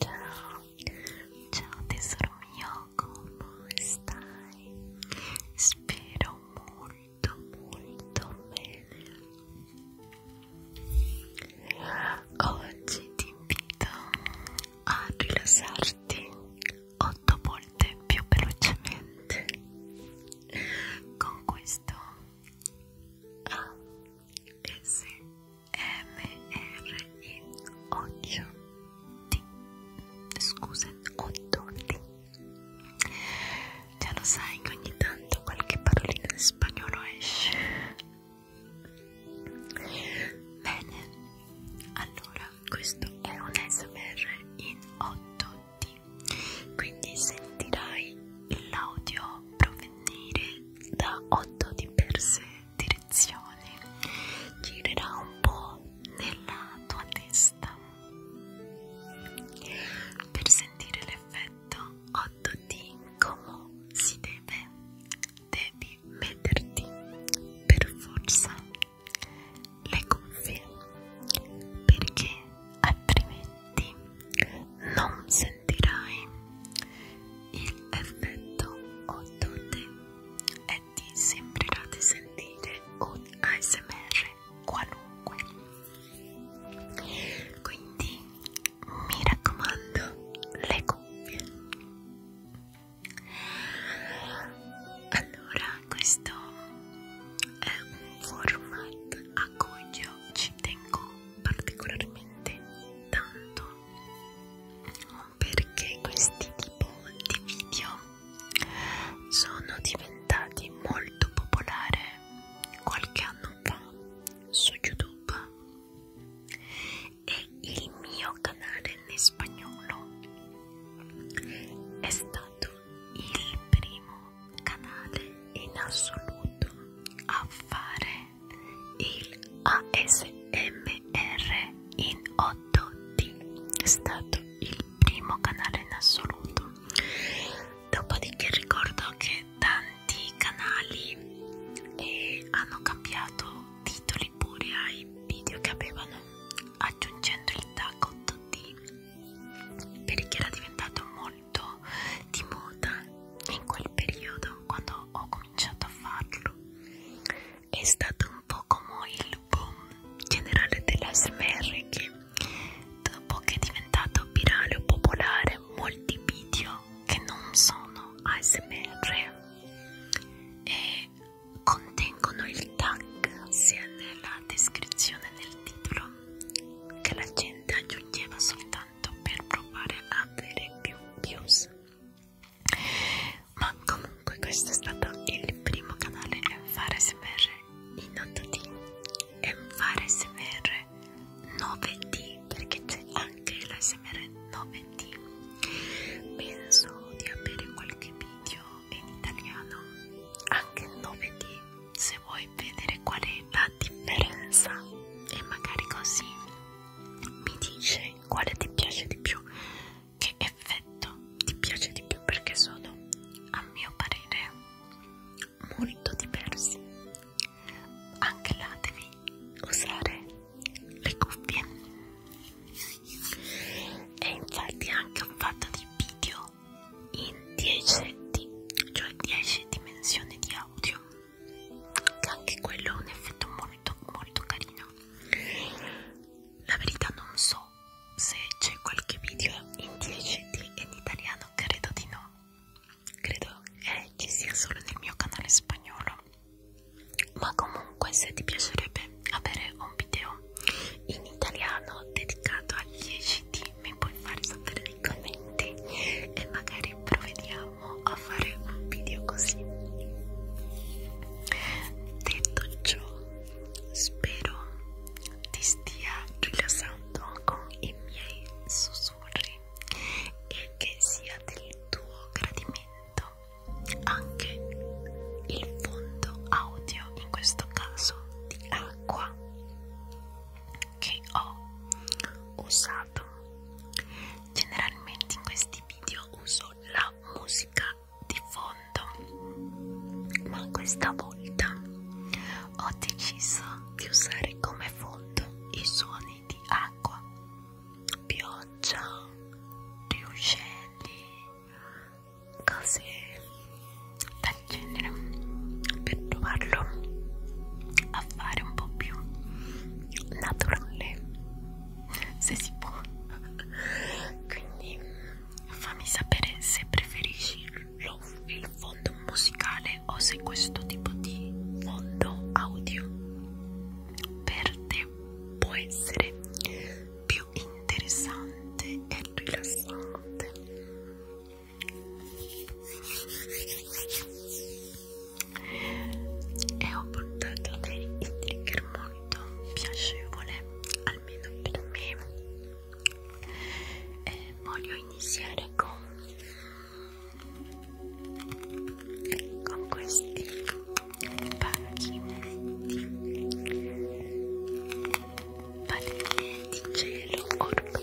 Ciao, ciao tesoro mio, come stai? Spero molto molto bene. Oggi ti invito a rilassarti otto volte più velocemente con questo ASMR M-R-E-8-D Scusa, 8-D Già lo sai che ogni tanto qualche parolina in spagnolo esce Bene, allora questo è un SMR in 8D quindi sentirai l'audio proveniente partire da 8 diverse direzioni girerà un po' nella tua testa per sentire l'effetto 8D come si deve devi metterti per forza le cuffie perché altrimenti non sentirai il effetto Ottone e ti sembrerà di sentire un ASMR qualunque. Quindi mi raccomando le cuffie. Allora, questo è un format a cui io ci tengo particolarmente tanto perché questi tipo di video sono diventati molto popolari qualche anno fa su YouTube e il mio canale in spagnolo è stato il primo canale in assoluto a fare il ASMR in 8D è stato il primo canale in assoluto dopodiché ricordo che tanti canali eh, hanno cambiato titoli pure ai video che avevano aggiungendo il tag 8D perché era diventato molto molto di moda in quel periodo quando ho cominciato a farlo è stato un po' come il boom generale dell'ASMR che dopo che è diventato virale o popolare molti video che non sono ASMR e contengono il tag sia nella descrizione nel titolo che la gente aggiungeva soltanto tanto per provare a avere più views ma comunque questo è stato il primo canale Enfare SMR in 8D Enfare SMR 9D perché c'è anche la SMR 9D penso di avere qualche video in italiano anche 9D se vuoi vedere qual è la differenza e magari così mi dice quale ti piace di più che effetto ti piace di più perché sono a mio parere molto diversi anche là devi usare le cuffie e infatti anche ho fatto dei video in 10 cioè 10 dimensioni di audio che anche quello ha un effetto molto molto carino la verità non so se c'è qualche video in 10D in italiano credo di no credo eh, ci sia solo nel mio canale spagnolo ma comunque se ti piacerebbe avere un video in italiano dedicato agli ECD mi puoi fare sapere nei commenti e magari provvediamo a fare un video così detto ciò spero ti stia rilassando con i miei sussurri e che sia del tuo gradimento anche il fondo audio in questo caso di acqua che ho usato generalmente in questi video uso la musica di fondo ma questa volta ho deciso di usare come fondo i suoni di acqua pioggia di uccelli cose del genere per trovarlo a fare un po' più naturale se si può quindi fammi sapere se preferisci lo, il fondo musicale o se questo tipo di fondo audio per te può essere più interessante e rilassante e ho portato il trigger molto piacevole almeno per me e voglio iniziare con con questi pacchi palline di gelo orco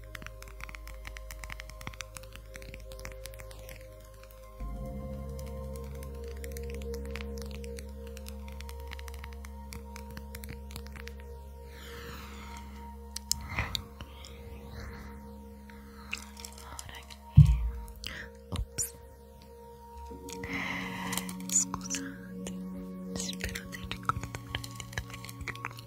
Ops. Scusate, spero di ricordare di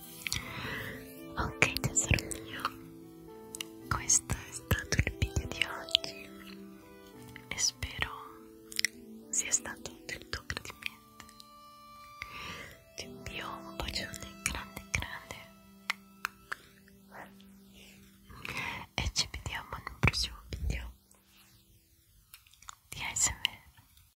ok tesoro mio questo è stato il video di oggi e spero sia stato del tuo gradimento ti invio un bacione grande grande e ci vediamo in un prossimo video di ASMR